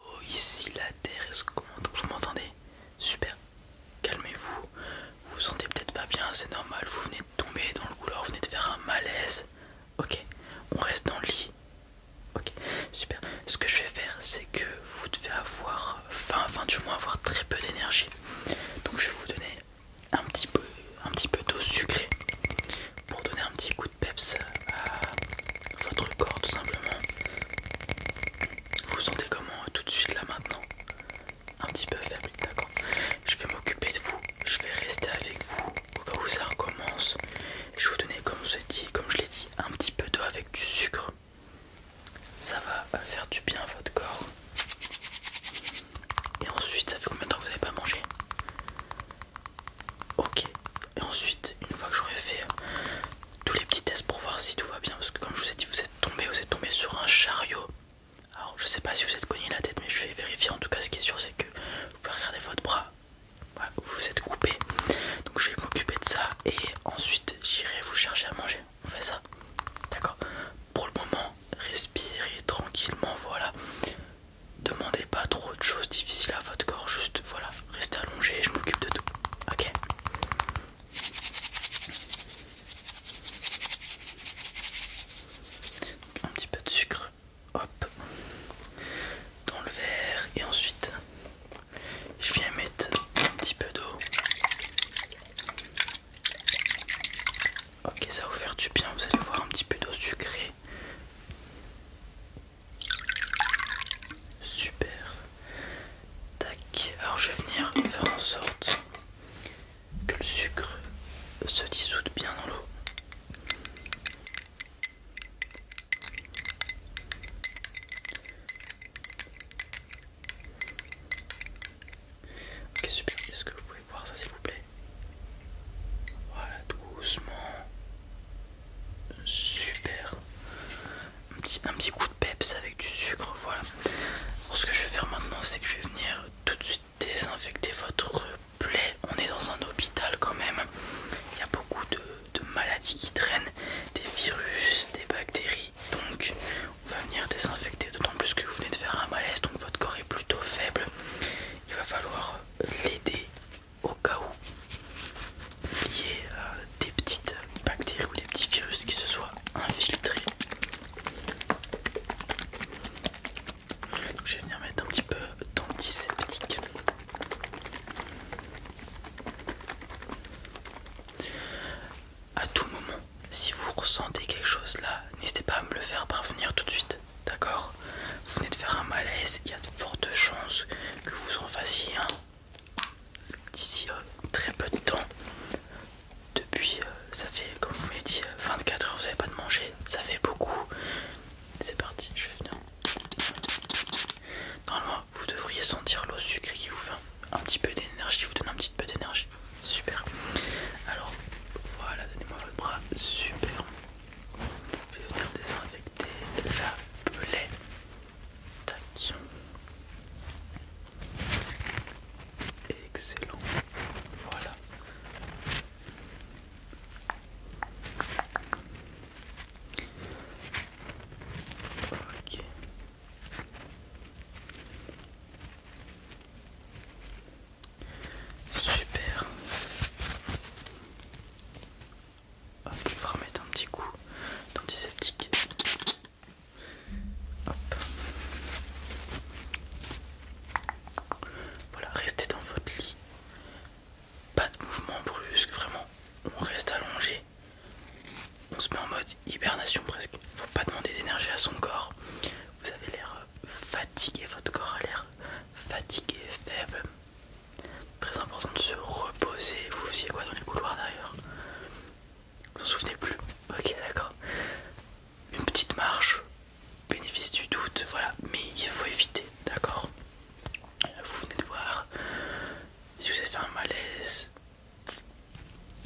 Oh, ici la terre, est-ce que vous m'entendez Super, calmez-vous. Vous vous sentez peut-être pas bien, c'est normal. Vous venez de tomber dans le couloir, vous venez de faire un malaise. Ok, on reste dans le lit. Ok, super. Ce que je vais faire, c'est que vous devez avoir faim, enfin du moins avoir très peu d'énergie. Donc je vais vous donner un petit peu, un petit peu d'eau sucrée pour donner un petit coup peps à votre corps tout simplement. Vous sentez comment euh, tout de suite là maintenant Un petit peu faible, d'accord Je vais m'occuper de vous, je vais rester avec vous au cas où ça recommence. Je vous donner, comme, vous dit, comme je l'ai dit, un petit peu d'eau avec du sucre. Ça va euh, faire du bien à votre corps. Et ensuite, ça fait combien de temps que vous n'avez pas mangé Ok, et ensuite, une fois que j'aurai fait euh, tous les petits tests pour voir si tout va bien, parce que comme je vous ai dit, vous êtes tombé, vous êtes tombé sur un chariot. Alors, je ne sais pas si vous êtes cogné la tête, mais je vais vérifier. En tout cas, ce qui est sûr, c'est que vous pouvez regarder votre bras, vous vous êtes coupé. Donc, je vais m'occuper de ça et ensuite, j'irai vous chercher à manger. On fait ça, d'accord Pour le moment, respirez tranquillement. Voilà, demandez pas trop de choses difficiles à votre corps, juste voilà, reste allongé, je m'occupe de tout. Ok un petit peu de sucre, hop, dans le verre et ensuite je viens mettre un petit peu d'eau. Ok, ça va vous faire du bien, vous allez voir un petit peu d'eau sucrée. Super. Tac. Alors je vais venir faire en sorte que le sucre se dissoute bien dans l'eau. Ok super, est-ce que vous pouvez voir ça s'il vous plaît Voilà, doucement super un petit, coup de peps avec du sucre voilà ce que je vais faire maintenant c'est que je vais venir tout de suite désinfecter votre plaie on est dans un hôpital quand même il y a beaucoup de maladies qui traînent des virus des bactéries donc on va venir désinfecter d'autant plus que vous venez de faire un malaise donc votre corps est plutôt faible il va falloir l'aider au cas où il y ait euh, des petites bactéries ou des petits virus qui se soient infiltrés. je vais venir mettre un petit peu d'antiseptique. À tout moment, si vous ressentez quelque chose là, n'hésitez pas à me le faire parvenir tout de suite. D'accord Vous venez de faire un malaise, il y a de fortes chances que vous en fassiez un d'ici euh, très peu de temps. Depuis, euh, ça fait, comme vous l'ai dit, 24 euh, heures, vous n'avez pas de manger, ça fait beaucoup. C'est parti, je vais venir. Normalement, vous devriez sentir l'eau sucrée qui vous fait un, petit peu d'énergie, vous donne un petit peu d'énergie. Super. Alors, voilà, donnez-moi votre bras. Super. Je vais venir désinfecter la plaie. Tac. Excellent. Voilà. Super je ah, vais remettre un petit coup d'antiseptique. Hop. Voilà, restez dans votre lit. Pas de mouvement brusque, vraiment. On reste allongé. On se met en mode hibernation presque. Faut pas demander d'énergie à son corps. Vous avez l'air fatigué, votre corps a l'air fatigué, faible. Très important de se reposer. Vous faisiez quoi dans les couloirs d'ailleurs Vous en souvenez plus Ok, d'accord. Une petite marche, bénéfice du doute, voilà. Mais il faut éviter, d'accord Vous venez de voir si vous avez fait un malaise.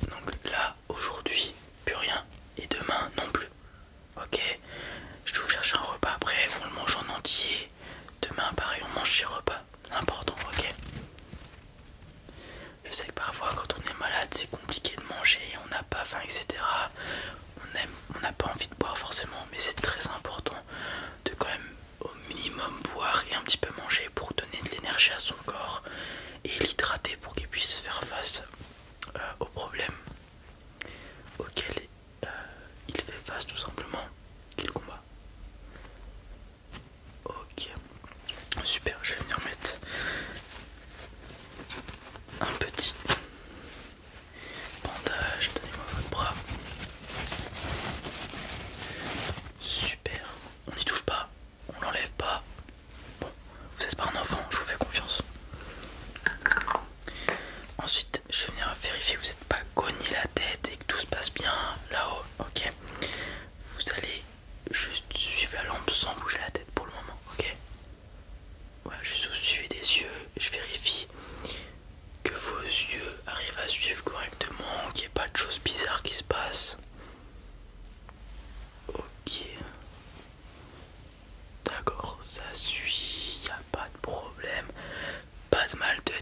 Donc là, aujourd'hui, plus rien. Et demain, non plus. Ok Je vais vous chercher un repas après, on le mange en entier. Demain, pareil, on mange ses repas important, ok Je sais que parfois quand on est malade c'est compliqué de manger, on n'a pas faim, etc. On aime, on n'a pas envie de boire forcément, mais c'est très important de quand même au minimum boire et un petit peu manger pour donner de l'énergie à son corps et l'hydrater pour qu'il puisse faire face euh, aux problèmes auxquels euh, il fait face tout simplement qu'il combat. Ok, super, je vais venir mettre un petit bandage, donnez-moi votre bras. Super, on n'y touche pas, on l'enlève pas. Bon, vous êtes pas un enfant, je vous fais confiance. Ensuite, je vais venir vérifier que vous n'êtes pas cogné la tête et que tout se passe bien là-haut. Ok, vous allez juste suivre la lampe sans bouger la tête pour le moment, ok Voilà, juste vous suivez des yeux, je vérifie que vos yeux arrivent à suivre correctement, qu'il n'y ait pas de choses bizarres qui se passent. Ok. D'accord, ça suit, il a pas de problème, pas de mal de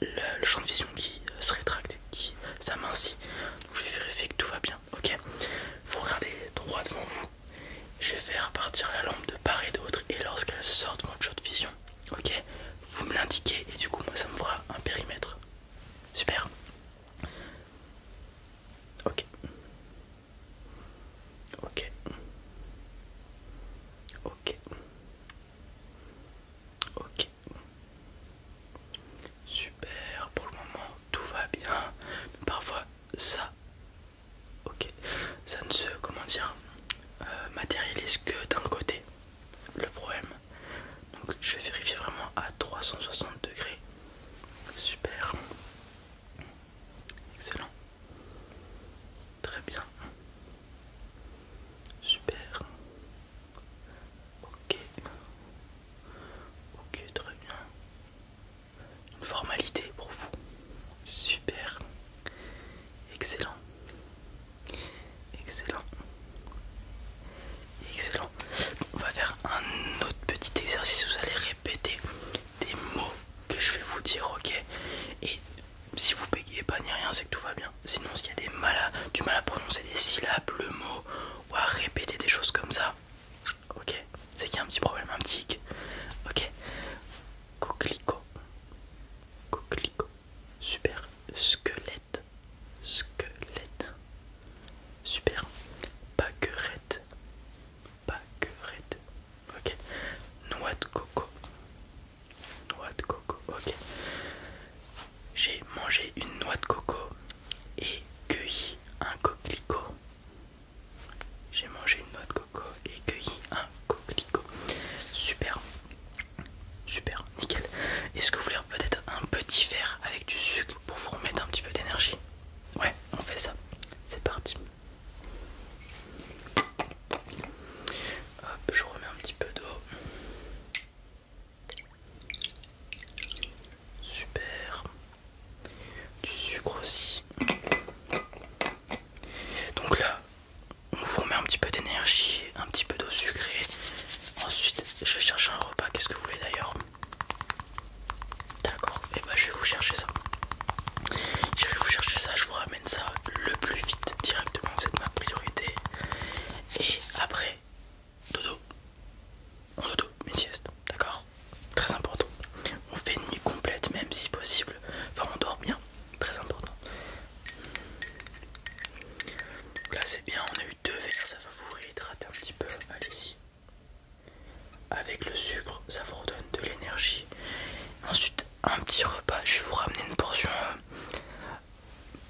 le, champ de vision qui euh, se rétracte, qui s'amincit. Donc je vais vérifier que tout va bien. Ok, vous regardez droit devant vous. Je vais faire partir la lampe de part et d'autre, et lorsqu'elle sort de votre champ de vision, ok, vous me l'indiquez, et du coup, moi ça me fera un périmètre. Super. Ok. Ok. Ok. Ok. Super, pour le moment tout va bien. parfois ça, ok, ça ne se, comment dire, euh, matérialise que d'un côté. Le problème. Donc je vais vérifier vraiment à 360 degrés. Super. Excellent. Très bien. Super. Ok. Ok, très bien. Une formalité pour vous. Super. Excellent. Excellent. Excellent. On va faire un autre petit exercice. Vous allez répéter des mots que je vais vous dire, ok Et si vous bégayez pas ni rien, c'est que tout va bien. Sinon, s'il y a des mal du mal à prononcer des syllabes, le mot, ou à répéter des choses comme ça, ok, c'est qu'il y a un petit problème, un petit Ok, coquelicot, coquelicot, super, squelette, squelette, super, baguette, baguette, ok, noix de coco, noix de coco, ok j'ai mangé une noix de coco et cueilli un coquelicot. J'ai mangé une noix de coco et cueilli un coquelicot. Super, super, nickel. Est-ce que vous voulez peut-être un petit verre avec du sucre pour vous remettre un petit peu d'énergie Ouais, on fait ça. C'est parti. Hop, je remets un petit peu d'eau. Super. Du sucre aussi. Donc là, on vous remet un petit peu d'énergie, un petit peu d'eau sucrée. Ensuite, je cherche un repas. Qu'est-ce que vous voulez d'ailleurs D'accord, et eh bah ben, je vais vous chercher ça. Je vais vous chercher ça, je vous ramène ça le plus vite directement. C'est ma priorité. Et après, dodo, on dodo, une sieste, d'accord Très important. On fait une nuit complète même si possible. Enfin on dort bien, très important. Là c'est bien, on a eu deux verres, ça va vous réhydrater un petit peu. Allez-y. Avec le sucre, ça vous redonne de l'énergie. Ensuite, un petit repas, je vais vous ramener une portion euh,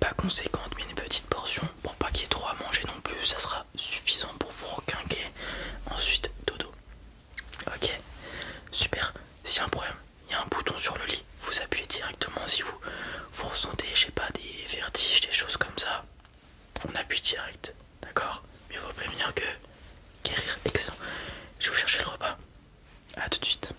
pas conséquente mais une petite portion pour pas qu'il y ait trop à manger non plus ça sera suffisant pour vous requinquer ensuite dodo ok super Si y un problème il y a un bouton sur le lit vous appuyez directement si vous vous ressentez je sais pas des vertiges des choses comme ça on appuie direct d'accord mieux vaut prévenir que guérir excellent je vais vous chercher le repas à tout de suite